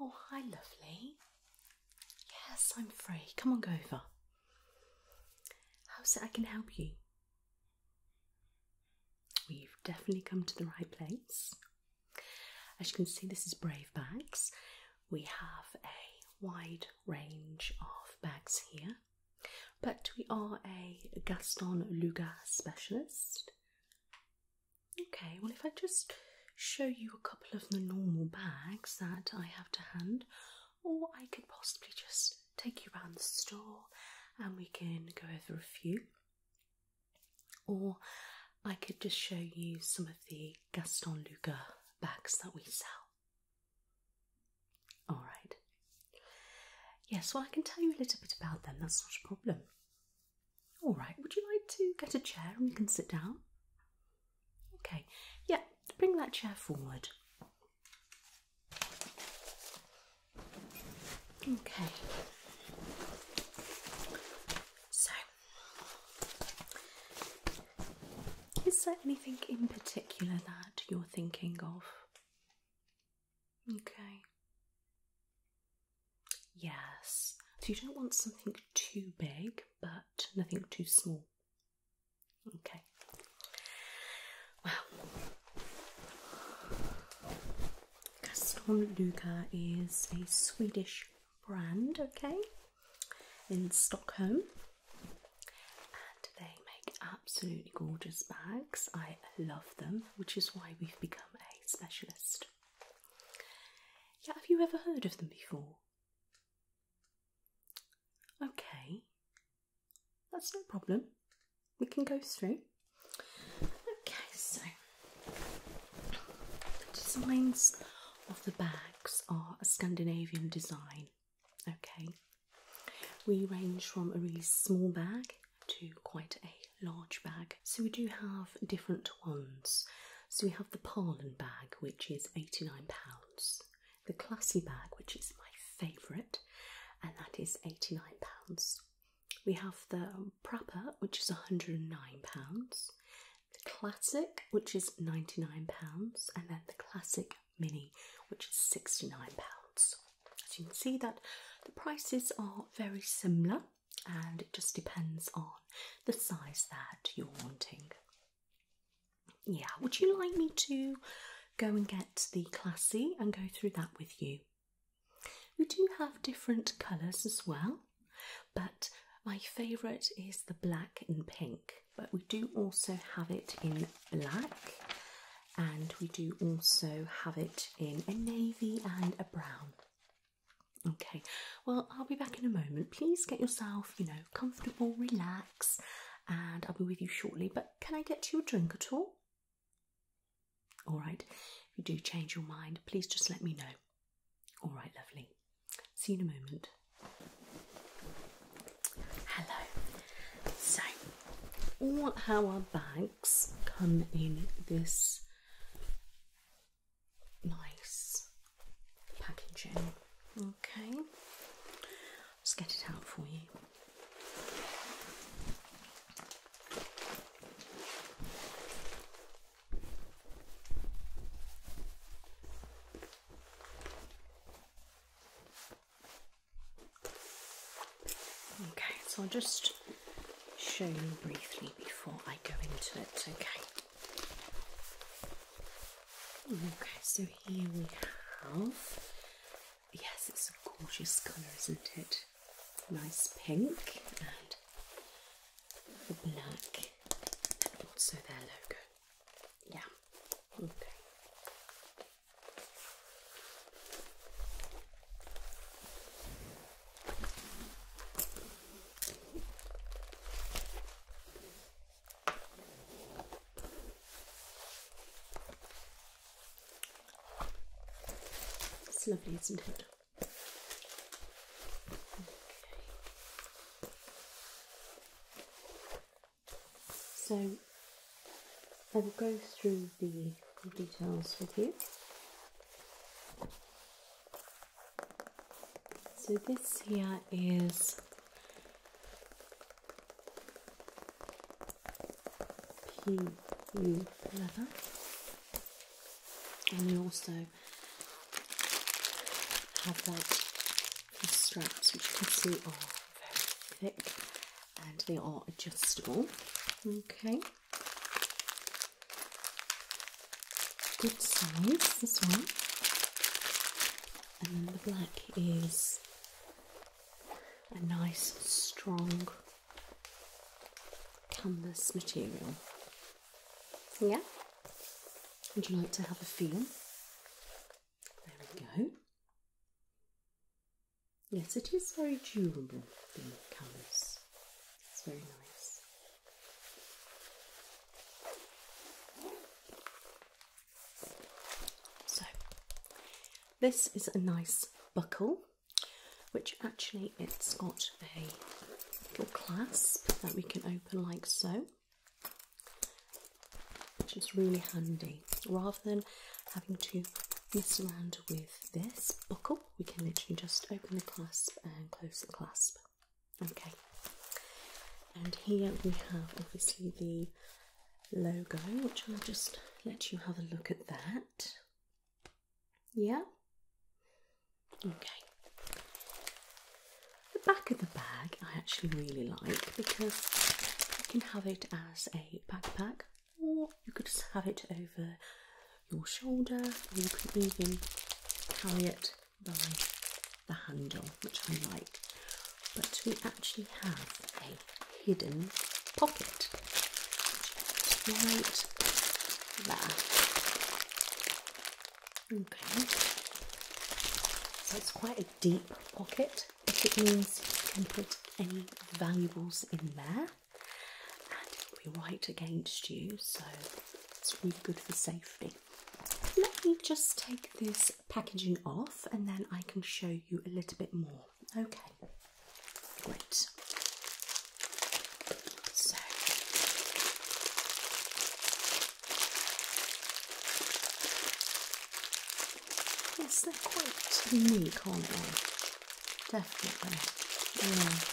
Oh, hi, lovely. Yes, I'm free. Come on, go over. How's it I can help you? we have definitely come to the right place. As you can see, this is Brave Bags. We have a wide range of bags here, but we are a Gaston Lugas specialist. Okay, well, if I just show you a couple of the normal bags that I have to hand, or I could possibly just take you around the store and we can go over a few, or I could just show you some of the Gaston Luger bags that we sell. All right. Yes, well, I can tell you a little bit about them, that's not a problem. All right, would you like to get a chair and we can sit down? Okay, yeah, bring that chair forward. Okay. So, is there anything in particular that you're thinking of? Okay. Yes. So you don't want something too big, but nothing too small. Okay. Well, Castormluka is a Swedish brand, okay, in Stockholm. And they make absolutely gorgeous bags. I love them, which is why we've become a specialist. Yeah, have you ever heard of them before? Okay, that's no problem. We can go through. Okay, so the designs of the bags are a Scandinavian design. Okay, we range from a really small bag to quite a large bag. So we do have different ones. So we have the Parlin bag, which is £89, the Classy bag, which is my favourite, and that is £89. We have the Prapper, which is £109, the Classic, which is £99, and then the Classic Mini, which is £69. As you can see that the prices are very similar and it just depends on the size that you're wanting. Yeah, would you like me to go and get the classy and go through that with you? We do have different colours as well, but my favourite is the black and pink. But we do also have it in black, and we do also have it in a navy and a brown. Okay, well, I'll be back in a moment. Please get yourself, you know, comfortable, relax, and I'll be with you shortly. But can I get you a drink at all? All right, if you do change your mind, please just let me know. All right, lovely. See you in a moment. Hello. So, all our bags come in this nice packaging. Okay, let's get it out for you. Okay, so I'll just show you briefly before I go into it. Okay. Okay, so here we have. Yes, it's a gorgeous colour, isn't it? Nice pink and black, and also their logo. Yeah, okay. It's lovely, isn't it? So I will go through the details with you. So this here is PU leather, and we also have like the straps, which you can see are very thick and they are adjustable. Okay good size, this one. And the black is a nice, strong canvas material. Yeah? Would you like to have a feel? There we go. Yes, it is very durable, the canvas. It's very nice. So, this is a nice buckle, which actually it's got a little clasp that we can open like so, which is really handy. Rather than having to mess around with this buckle, we can literally just open the clasp and close the clasp. Okay, and here we have obviously the logo, which I'll just let you have a look at that. Yeah, okay. The back of the bag I actually really like because you can have it as a backpack, or you could just have it over your shoulder, or you could even carry it by the handle, which I like. But we actually have a hidden pocket right there. Okay, so it's quite a deep pocket, but it means you can put any valuables in there and it'll be right against you, so it's really good for safety. Let me just take this packaging off and then I can show you a little bit more. Okay, great. So, yes, they're quite unique, aren't they? Definitely. Yeah.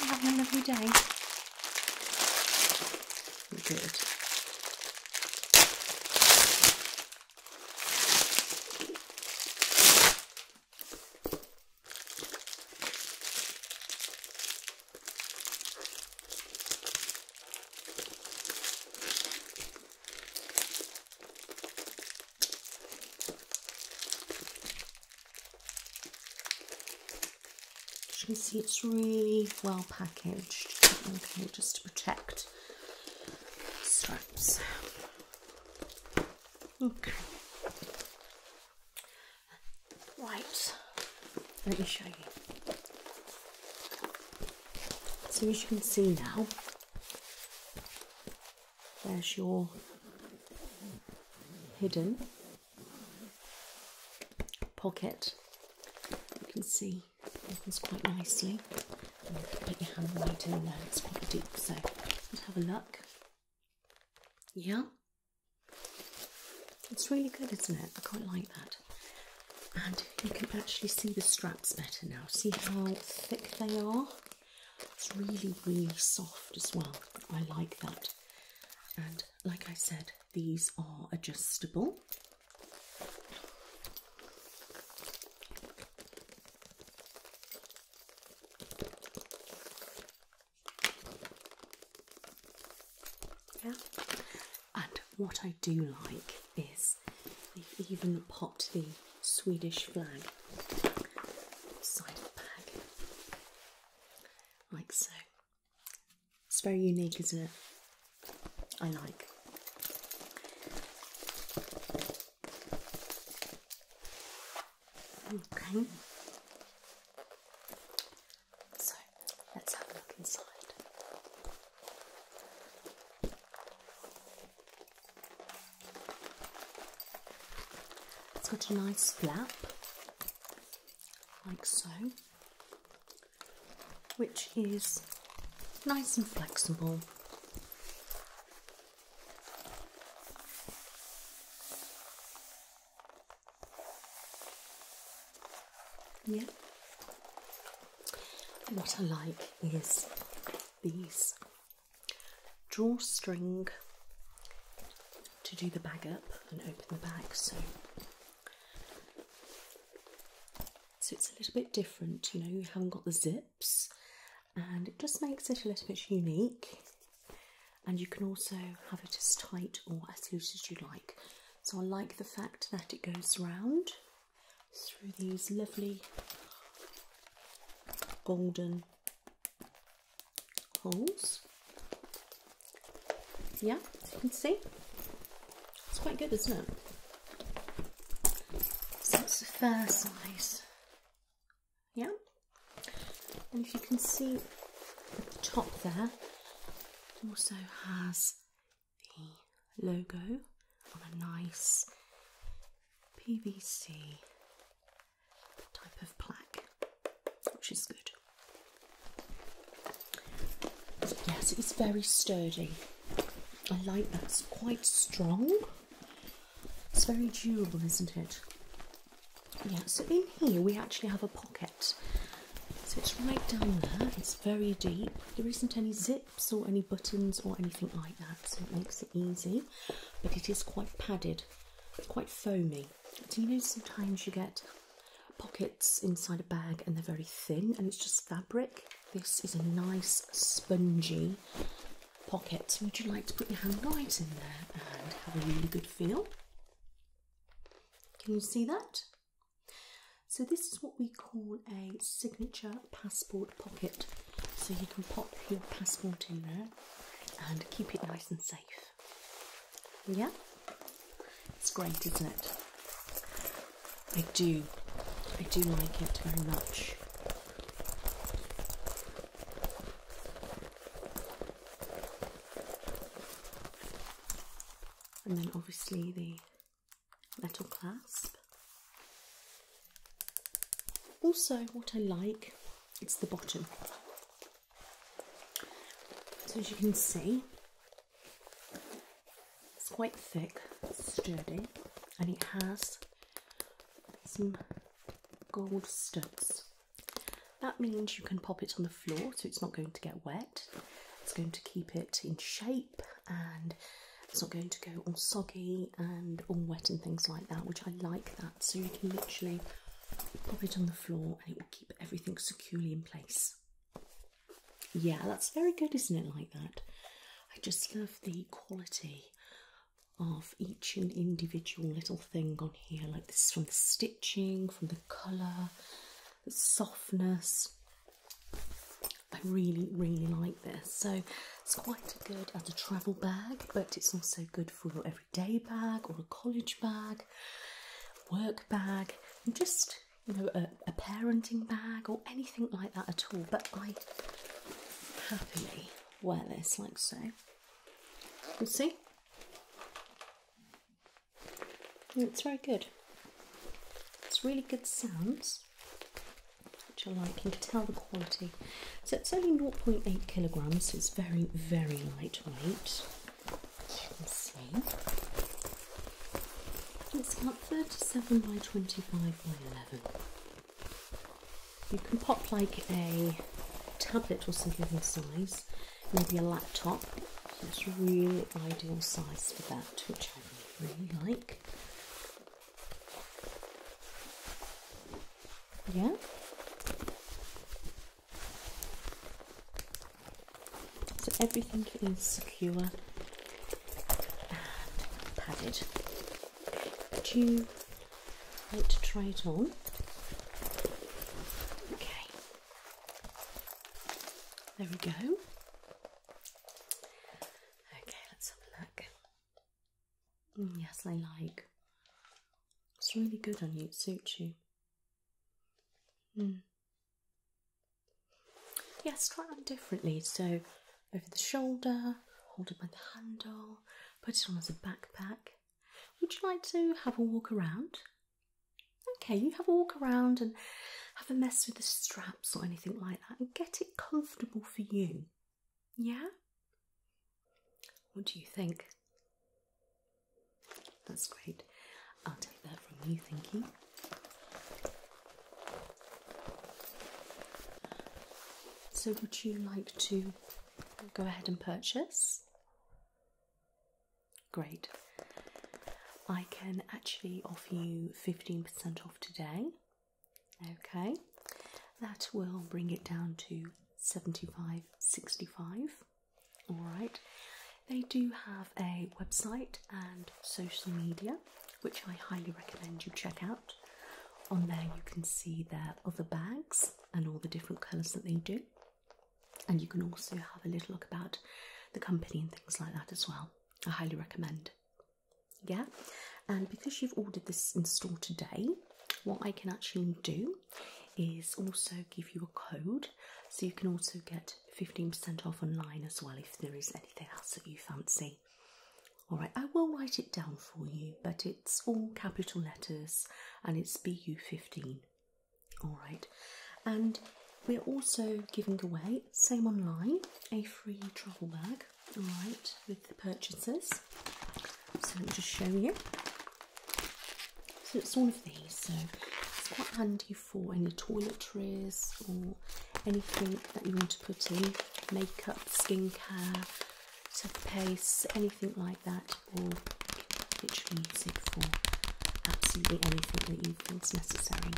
You're having a lovely day. Good. As you can see, it's really well packaged. Okay, just to protect straps. Okay. Right. Let me show you. So as you can see now, there's your hidden pocket. You can see it opens quite nicely. put your hand right in there, it's quite deep, so let's have a look. Yeah. It's really good, isn't it? I quite like that. And you can actually see the straps better now. See how thick they are? It's really, really soft as well. I like that. And like I said, these are adjustable. Yeah. And what I do like is they've even popped the Swedish flag side of the bag like so. It's very unique, isn't it? I like. Okay. So let's have a look inside. It's got a nice flap, like so, which is nice and flexible. Yeah. What I like is these drawstring to do the bag up and open the bag. So, so it's a little bit different, you know, you haven't got the zips, and it just makes it a little bit unique. And you can also have it as tight or as loose as you like. So I like the fact that it goes round through these lovely golden holes. Yeah, you can see. It's quite good, isn't it? So that's the fair size. Yeah. And if you can see the top there, also has the logo on a nice PVC type of plaque, which is good. yes, it's very sturdy. I like that. It's quite strong. It's very durable, isn't it? Yeah, so in here we actually have a pocket. So it's right down there, it's very deep. There isn't any zips or any buttons or anything like that, so it makes it easy. But it is quite padded, quite foamy do you know sometimes you get pockets inside a bag and they're very thin and it's just fabric? This is a nice spongy pocket. Would you like to put your hand right in there and have a really good feel? Can you see that? So, this is what we call a signature passport pocket. So, you can pop your passport in there and keep it nice and safe. Yeah, it's great, isn't it? I do, I do like it very much. And then obviously the metal clasp. Also, what I like it's the bottom. So as you can see, it's quite thick, sturdy, and it has some gold studs. That means you can pop it on the floor so it's not going to get wet. It's going to keep it in shape and it's not going to go all soggy and all wet and things like that, which I like that. So you can literally pop it on the floor and it will keep everything securely in place. Yeah, that's very good, isn't it? Like that. I just love the quality of each and individual little thing on here, like this from the stitching, from the colour, the softness. I really, really like this. So it's quite good as a travel bag, but it's also good for your everyday bag or a college bag work bag, just you know a, parenting bag or anything like that at all. But I happily wear this like so. You see, it's very good. It's really good sounds, which I like. You can tell the quality. So it's only 0.8 kilograms, it's very, very lightweight. You can see it's about 37 by 25 by 11. You can pop like a tablet or something in size, maybe a laptop. It's a really ideal size for that, which I really like. Yeah. So everything is secure and padded. Would you like to try it on? Okay. There we go. Okay, let's have a look. Mm, yes, I like. It's really good on you, it suits you. Yes, try it on differently. So, over the shoulder, hold it by the handle, put it on as a backpack. Would you like to have a walk around? Okay, you have a walk around and have a mess with the straps or anything like that and get it comfortable for you. Yeah? What do you think? That's great. I'll take that from you, thank you. So, would you like to go ahead and purchase? Great. I can actually offer you 15% off today. Okay, that will bring it down to 75.65. Alright, they do have a website and social media which I highly recommend you check out. On there, you can see their other bags and all the different colours that they do, and you can also have a little look about the company and things like that as well. I highly recommend. Yeah, and because you've ordered this in store today, what I can actually do is also give you a code so you can also get 15% off online as well if there is anything else that you fancy. Alright, I will write it down for you, but it's all capital letters and it's BU15. Alright, and we're also giving away, same online, a free travel bag, alright, with the purchases. So let me just show you. So it's all of these, so it's quite handy for any toiletries or anything that you want to put in makeup, skincare, toothpaste, anything like that, or literally use it for absolutely anything that you think is necessary.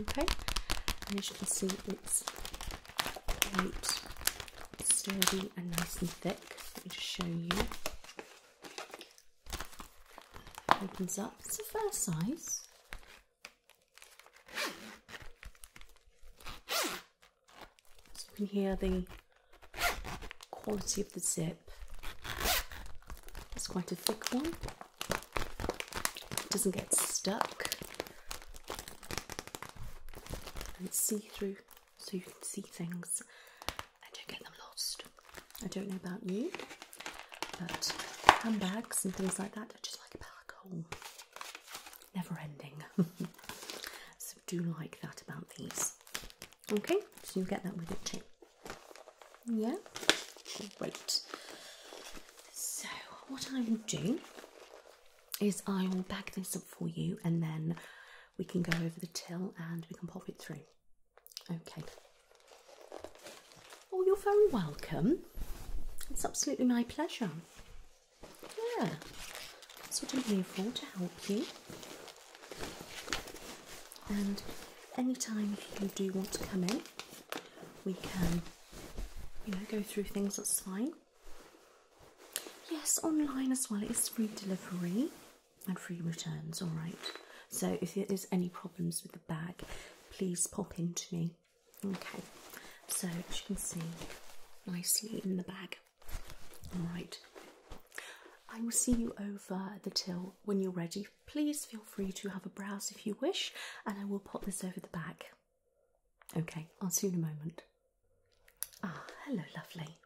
Okay, and as you can see, it's quite sturdy and nice and thick. Let me just show you. Opens up. It's a fair size. So you can hear the quality of the zip. It's quite a thick one. It doesn't get stuck. And it's see-through so you can see things. I don't get them lost. I don't know about you, but handbags and things like that are just like a black hole, never ending. so do like that about these. Okay, so you get that with it too. Yeah, great. So what I will do is I will bag this up for you and then we can go over the till and we can pop it through. Okay. Oh, you're very welcome. It's absolutely my pleasure. Yeah, that's what I'm here for to help you. And anytime you do want to come in, we can, you know, go through things. That's fine. Yes, online as well. It is free delivery and free returns. All right. So if there's any problems with the bag, please pop into me. Okay. So as you can see, nicely in the bag. All right. I will see you over the till when you're ready. Please feel free to have a browse if you wish, and I will pop this over the bag. Okay, I'll see you in a moment. Ah, hello, lovely.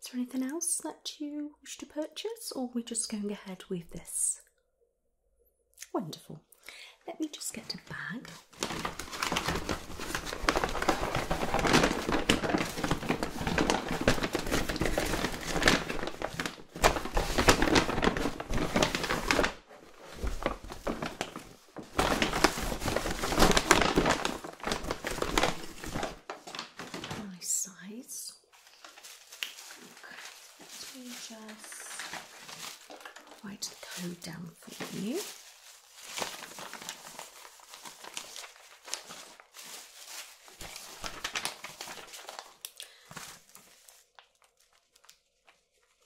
Is there anything else that you wish to purchase, or are we just going ahead with this? Wonderful. Let me just get a bag. Nice size. Okay, let me just write the down for you.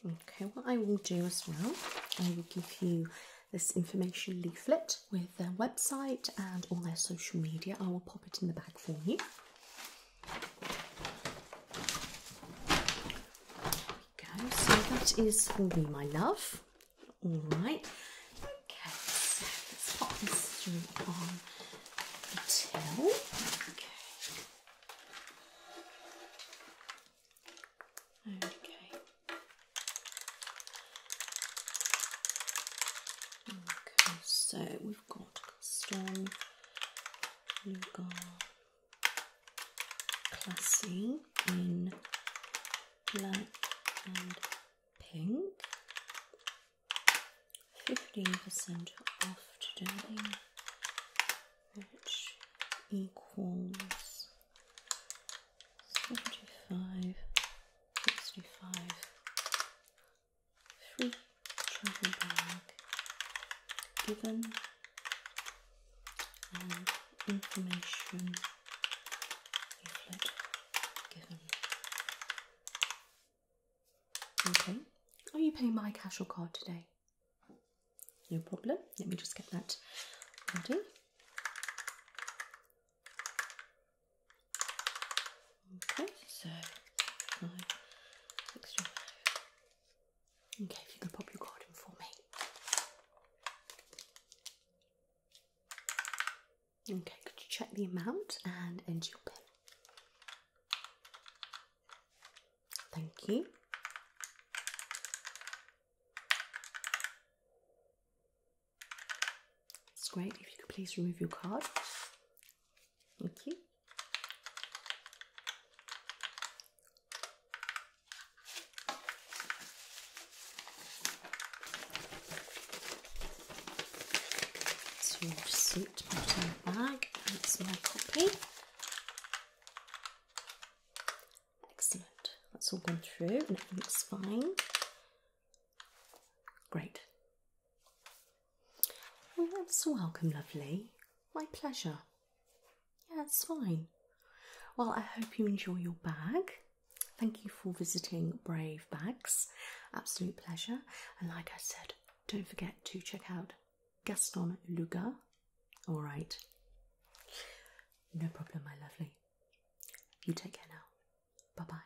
Okay, what I will do as well, I will give you this information leaflet with their website and all their social media. I will pop it in the bag for you. There we go. So that is for me, my love. All right. Okay. let's pop this through on Okay so we've got we custom, Lugar, classy in black and pink. 15% off today, which equals seventy-five, sixty-five three travel bag given um, information leaflet given. Okay, are you paying my cash or card today? No problem. Let me just get that ready. Okay, so five, six, two, five. Okay, you can pop your card in for me. Okay, could you check the amount and enter your PIN? Thank you. It's great if you could please remove your card. Thank you. So your That's my copy. Excellent. That's all gone through and it looks fine. Great. Well, that's welcome, lovely. My pleasure. Yeah, it's fine. Well, I hope you enjoy your bag. Thank you for visiting Brave Bags. Absolute pleasure. And like I said, don't forget to check out Gaston Lugar. All right. No problem, my lovely. You take care now. Bye bye.